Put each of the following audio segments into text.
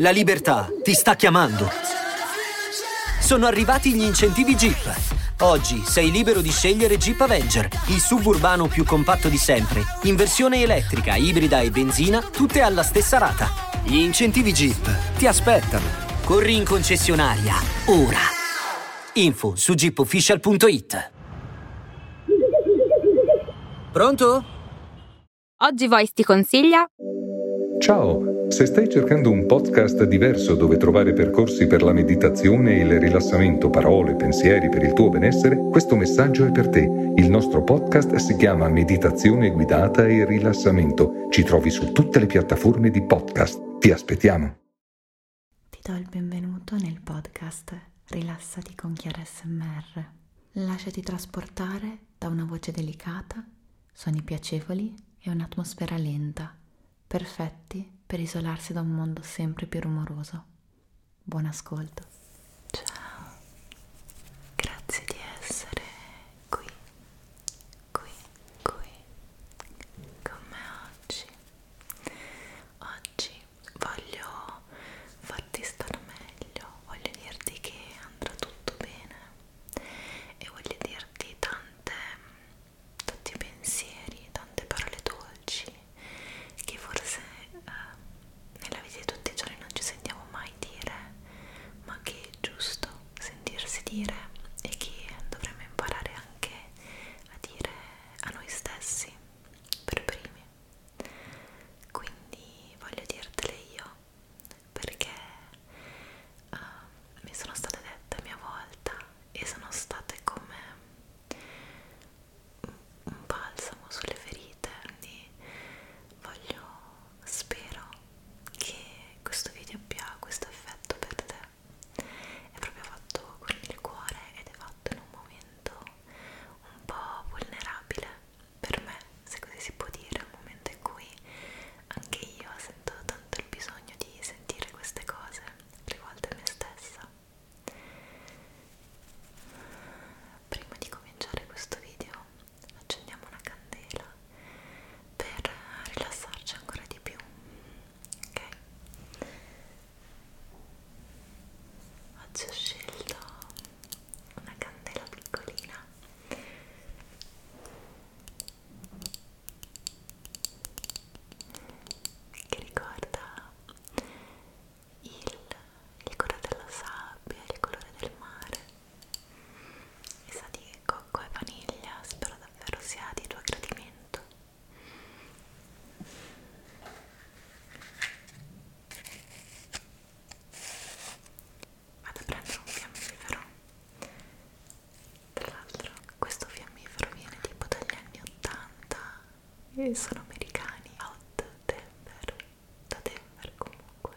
La libertà ti sta chiamando. Sono arrivati gli incentivi Jeep. Oggi sei libero di scegliere Jeep Avenger, il suburbano più compatto di sempre, in versione elettrica, ibrida e benzina, tutte alla stessa rata. Gli incentivi Jeep ti aspettano. Corri in concessionaria, ora. Info su jeepofficial.it Pronto? Oggi Voice ti consiglia? Ciao, se stai cercando un podcast diverso dove trovare percorsi per la meditazione e il rilassamento, parole, pensieri per il tuo benessere, questo messaggio è per te. Il nostro podcast si chiama Meditazione guidata e rilassamento. Ci trovi su tutte le piattaforme di podcast. Ti aspettiamo. Ti do il benvenuto nel podcast Rilassati con Chiara SMR. Lasciati trasportare da una voce delicata, suoni piacevoli e un'atmosfera lenta, perfetti per isolarsi da un mondo sempre più rumoroso. Buon ascolto. Ciao, grazie di essere qui, qui, qui, con me oggi. Oggi voglio farti stare meglio, voglio dirti che andrà tutto bene e voglio dirti tante, tanti pensieri, tante parole dolci che forse eh, nella vita di tutti i giorni non ci sentiamo mai dire, ma che è giusto sentirsi dire e che dovremmo imparare anche a dire a noi stessi per primi quindi voglio dirtele io perché uh, mi sono state dette a mia volta e sono state come un balsamo sulle ferite quindi voglio spero che questo video abbia questo effetto per te è proprio fatto con il cuore ed è fatto fatto in un momento un po' vulnerabile per me, se così si può dire, un momento in cui anche io sento tanto il bisogno di sentire queste cose rivolte a me stessa. Prima di cominciare questo video accendiamo una candela per rilassarci ancora di più ok oggi ho scelto una candela piccolina che ricorda il, il colore della sabbia, il colore del mare e sa di cocco e vaniglia spero davvero sia di tuo gradimento Vado a prendere un fiammifero. Tra l'altro, questo fiammifero viene tipo dagli anni 80 e sono americani. Hot Denver, da Denver comunque.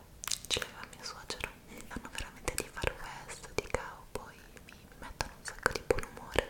Ce l'aveva mio suocero. Fanno veramente di far west, di cowboy, mi, mi mettono un sacco di buon umore.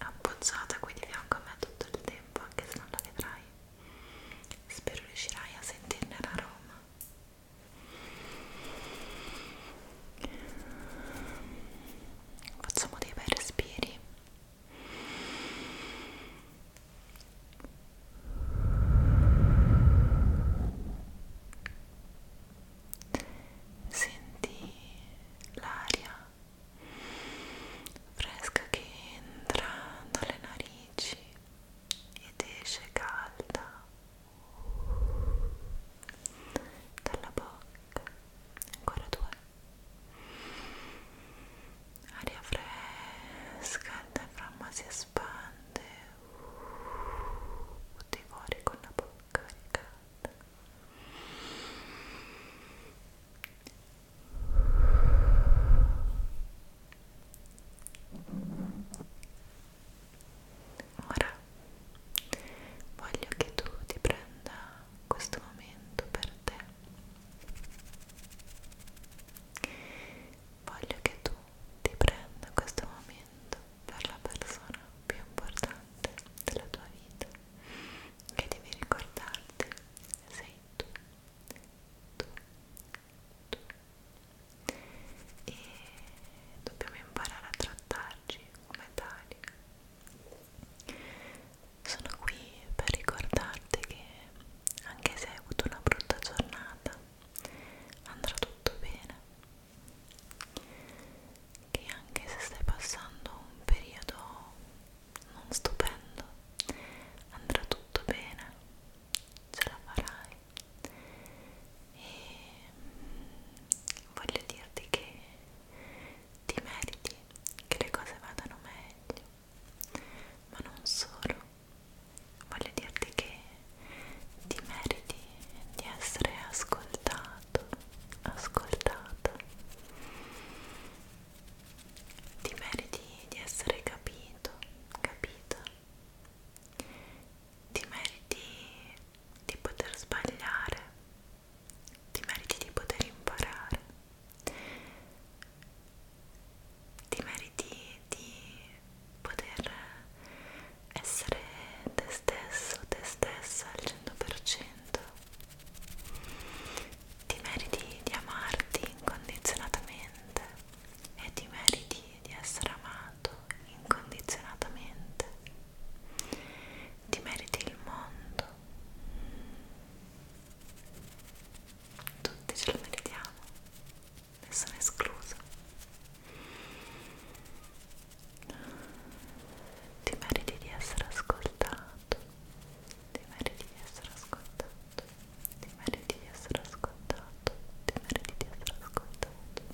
appoggiata qui di fianco a me tutto il tempo anche se non la vedrai spero riuscirai a sentirne l'aroma facciamo dei bei respiri Senti l'aria fresca che entra dalle narici ed esce calda dalla bocca ancora due aria fresca il diaframma si espande tutti fuori con la bocca ricalda Ora voglio che tu ti prenda questo momento per te. Voglio che tu ti prenda questo momento per la persona più importante della tua vita che devi ricordarti sei tu, tu, tu e dobbiamo imparare a trattarci come tali sono qui per ricordarti che anche se hai avuto una brutta giornata andrà tutto bene che anche se stai passando un periodo non stupendo, andrà tutto bene, ce la farai e mm, voglio dirti che ti meriti che le cose vadano meglio, ma non solo, voglio dirti che ti meriti di essere ascoltato, ascoltata ti meriti di essere capito, capita, ti meriti di poter sbagliare, ti meriti di poter imparare, ti meriti di poter essere te stesso, te stessa al 100%. Ti meriti di amarti incondizionatamente e ti meriti di essere amato incondizionatamente. Ti meriti il mondo. Tutti ce lo meritiamo, nessuno escluso. Ti meriti di essere ascoltato ti meriti di essere ascoltato, ti meriti di essere ascoltato, ti meriti di essere ascoltato,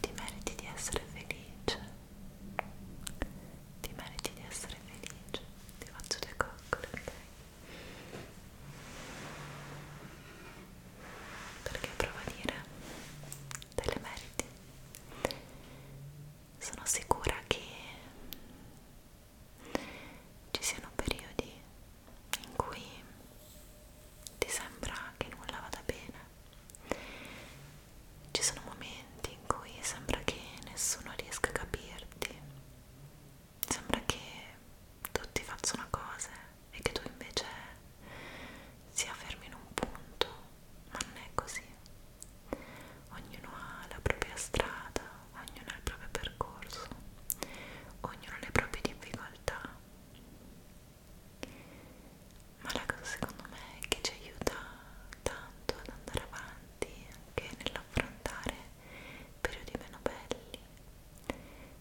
ti meriti di essere felice, ti meriti di essere felice, ti faccio le coccole, ok? Perché prova a dire te le meriti sono sicura che ci siano periodi in cui ti sembra che nulla vada bene, ci sono momenti in cui sembra che nessuno riesca a capirti, sembra che tutti facciano cose e che tu invece si fermi in un punto ma non è così. Ognuno ha la propria strada, ognuno ha il proprio percorso, ognuno ha le proprie difficoltà. Ma la cosa secondo me che ci aiuta tanto ad andare avanti anche nell'affrontare periodi meno belli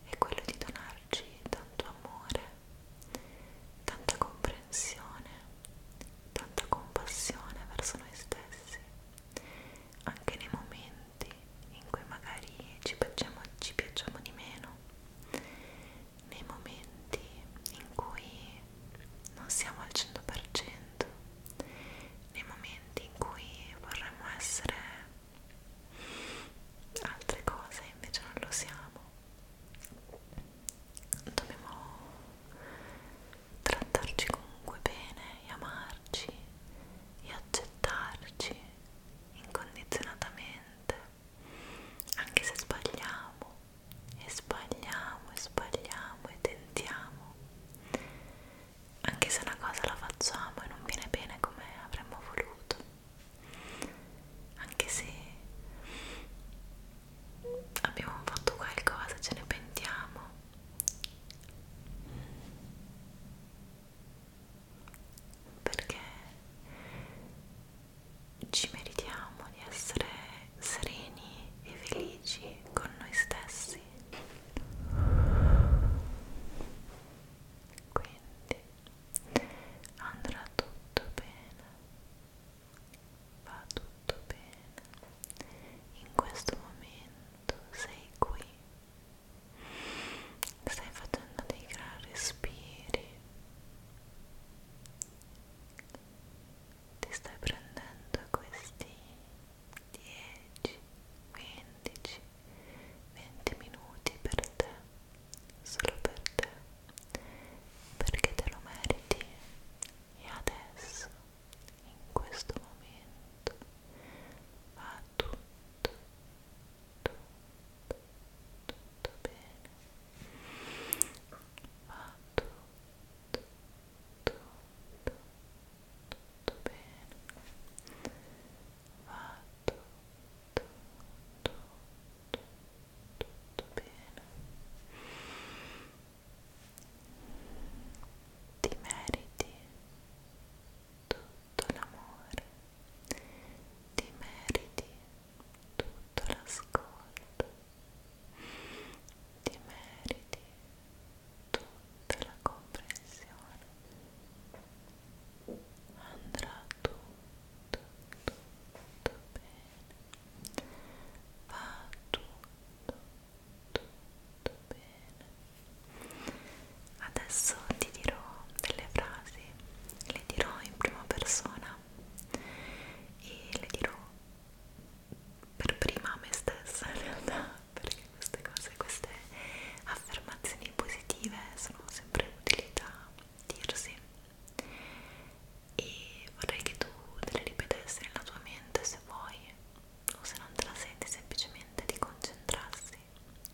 è quello di donarci tanto amore, tanta comprensione tanta compassione verso noi stessi, anche nei momenti in cui magari ci piacciamo, ci piacciamo di meno, nei momenti in cui non siamo al 100%, nei momenti in cui vorremmo essere altre cose invece non lo siamo dobbiamo trattarci comunque bene e amarci e accettarci incondizionatamente anche se sbagliamo e sbagliamo e sbagliamo e tentiamo anche se una cosa la facciamo e non viene bene come avremmo voluto anche se abbiamo fatto qualcosa, ce ne pentiamo. Perché ci meritiamo di essere sereni e felici con noi stessi. Quindi andrà tutto bene va tutto bene, in questo momento sei qui, stai facendo dei gran respiri, ti stai prendendo questi 10, 15, 20 minuti per te, solo per te perché te lo meriti e adesso, in questo momento, va tutto, tutto, tutto bene. Va tutto, tutto, tutto bene. Va tutto, tutto, tutto tutto bene ti meriti tutto l'amore ti meriti tutto l'ascolto ti meriti tutta la comprensione andrà tutto tutto bene va tutto, tutto bene adesso ti dirò delle frasi le dirò in prima persona e le dirò per prima a me stessa in realtà perché queste cose, queste affermazioni positive sono sempre utili da dirsi e vorrei che tu te le ripetessi nella tua mente se vuoi o se non te la senti semplicemente di concentrarsi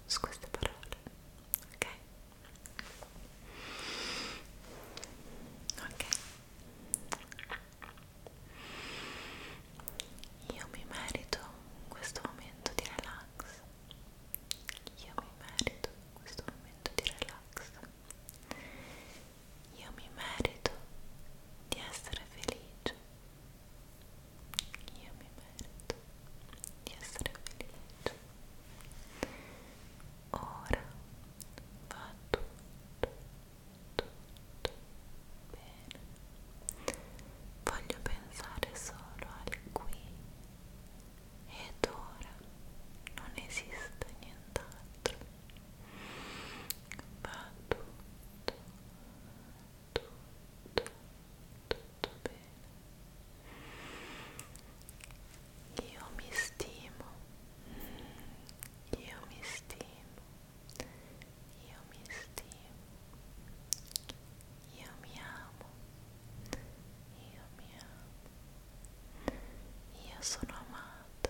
su queste parole ok ok io mi merito questo momento di relax io mi merito questo momento di relax io mi merito di essere felice. Io mi merito di essere felice. Ora va tutto, tutto bene. Voglio pensare solo al qui. Ed ora non esiste niente nient'altro va tutto tutto tutto bene io mi stimo io mi stimo io mi stimo io mi amo io mi amo Io sono amato,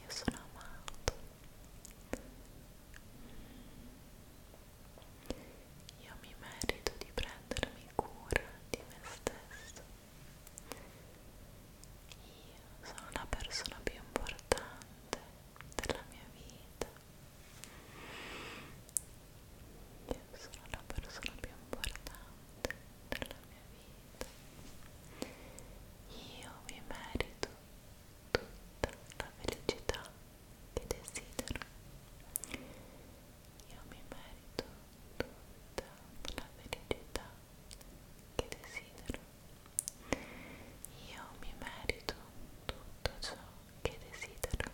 io sono amato. Io mi merito di prendermi cura di me stesso. Io sono la persona più importante della mia vita. Io sono la persona più importante della mia vita. Io mi merito tutta la felicità che desidero. Io mi merito tutta la felicità che desidero. Io mi merito tutto ciò che desidero.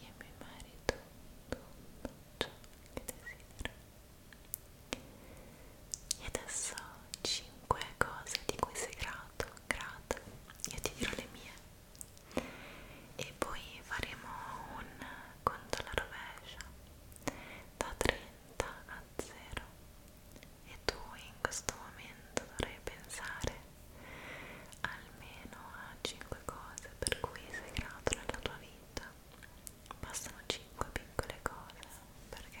Io mi merito tutto ciò che desidero. E adesso 5 cose di cui sei grato, grata. Io ti dirò le mie. E poi faremo un conto alla rovescia da 30 a 0. E tu in questo momento dovrai pensare almeno a 5 cose per cui sei grato nella tua vita bastano 5 piccole cose perché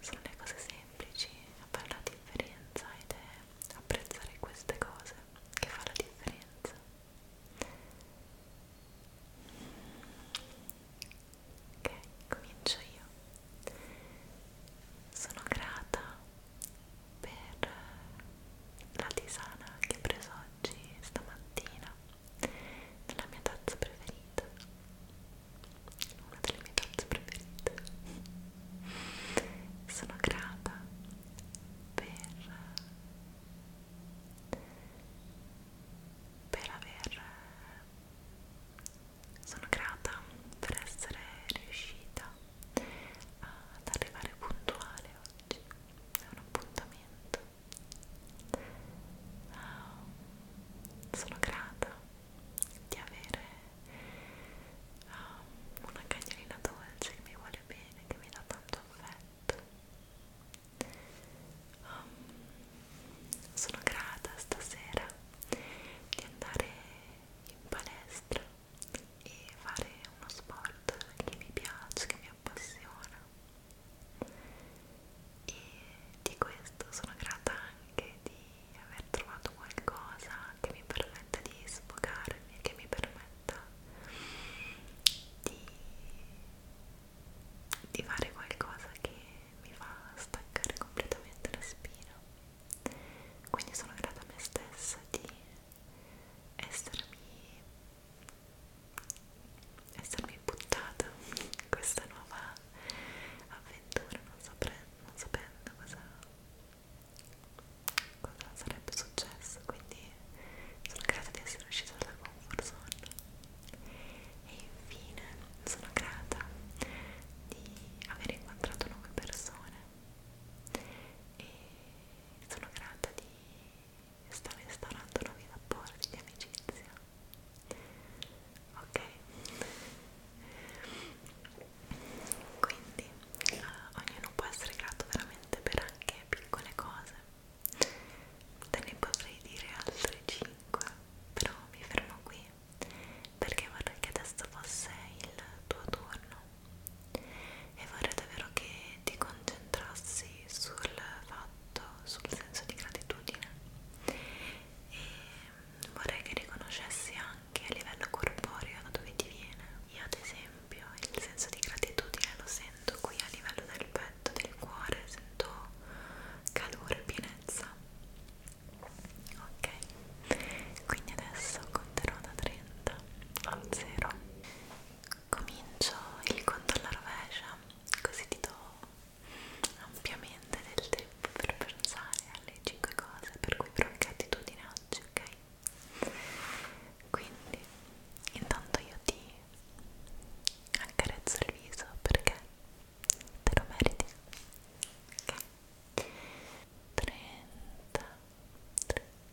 sono le cose semplici a fare la differenza ed è apprezzare queste cose che fa la differenza ok comincio io sono grata per la tisana che ho preso oggi stamattina nella mia tazza preferita una delle mie tazze preferite sono grata per per aver sono grata per essere riuscita ad arrivare puntuale oggi è un appuntamento uh, sono grata di avere uh, una cagnolina dolce che mi vuole bene che mi dà tanto affetto um, sono grata stasera di andare in palestra e fare uno sport che mi piace, che mi appassiona e di questo sono grata anche di aver trovato qualcosa che mi permetta di sfogarmi, che mi permetta di, di fare qualcosa che mi fa staccare completamente la spina quindi sono grata a me stessa di essermi, essermi buttata in questa nuova avventura non, sapre, non sapendo cosa, cosa sarebbe successo quindi sono grata di essere uscita dalla comfort zone e infine sono grata di aver incontrato nuove persone e sono grata di sto instaurando nuovi rapporti di amicizia ok quindi eh, ognuno può essere grato veramente per anche piccole cose te ne potrei dire altre 5 però mi fermo qui perché vorrei che adesso fosse il tuo turno e vorrei davvero che ti concentrassi sul fatto, sul senso di gratitudine e vorrei che riconoscessi anche a livello corporeo da dove ti viene. Io ad esempio il senso di gratitudine lo sento qui a livello del petto, del cuore, sento calore e pienezza. Ok, quindi adesso conterò da 30 a 0 comincio il conto alla rovescia così ti do ampiamente del tempo per pensare alle 5 cose per cui provi attitudine oggi, ok? Quindi intanto io ti accarezzo il viso perché te lo meriti, ok? 33 32 31 20 19 18 17 16 15 14 13 12 11 10 9 8 7 6 5 4 3 2 1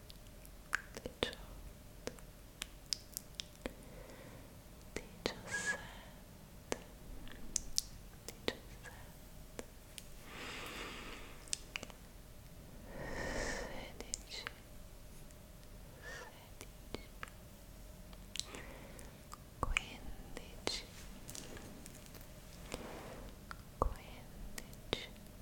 diciotto, diciassette, diciassette, sedici, sedici, quindici, quindici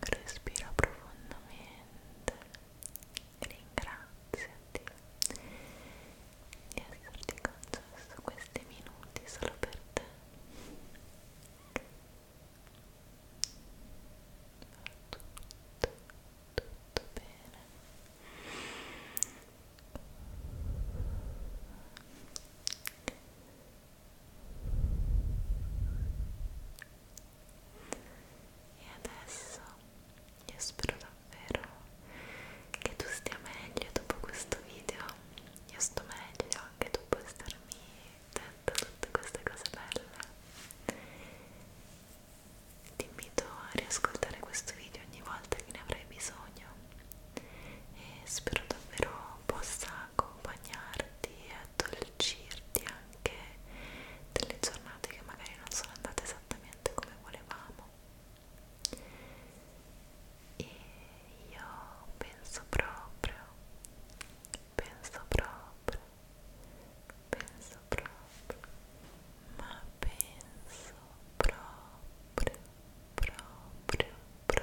Respira profondamente, ringraziati di esserti concesso questi minuti solo per te. Va tutto, tutto bene. Rilassati e adesso io spero davvero che tu stia meglio dopo questo video. Io sto meglio, che tu puoi starmi detto tutte queste cose belle. Ti invito a riascoltare questo video ogni volta che ne avrai bisogno e spero davvero possa accompagnarti e addolcirti anche delle giornate che magari non sono andate esattamente come volevamo e io penso proprio penso proprio penso proprio ma penso proprio proprio proprio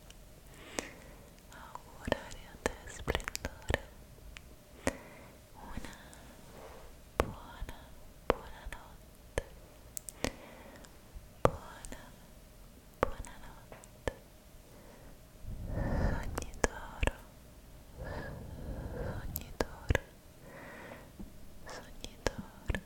augurare a te splendore una buona buona notte buona buona notte sogni d'oro sogni d'oro sogni d'oro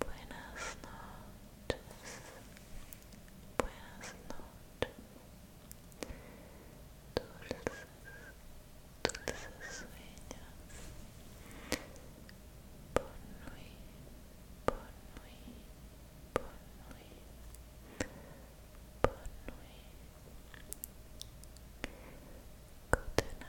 Buenas noches. Buenas noches. Dulces, dulces sueños. Bonne nuit, bonne nuit, bonne nuit. Bonne nuit. Good night.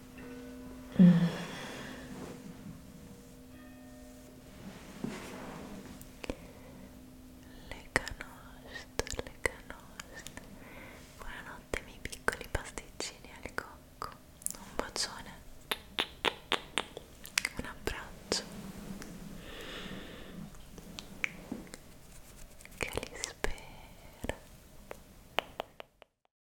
Le canoste, le canoste. Buonanotte miei piccoli pasticcini al cocco. Un bacione. Un abbraccio. Che li spera.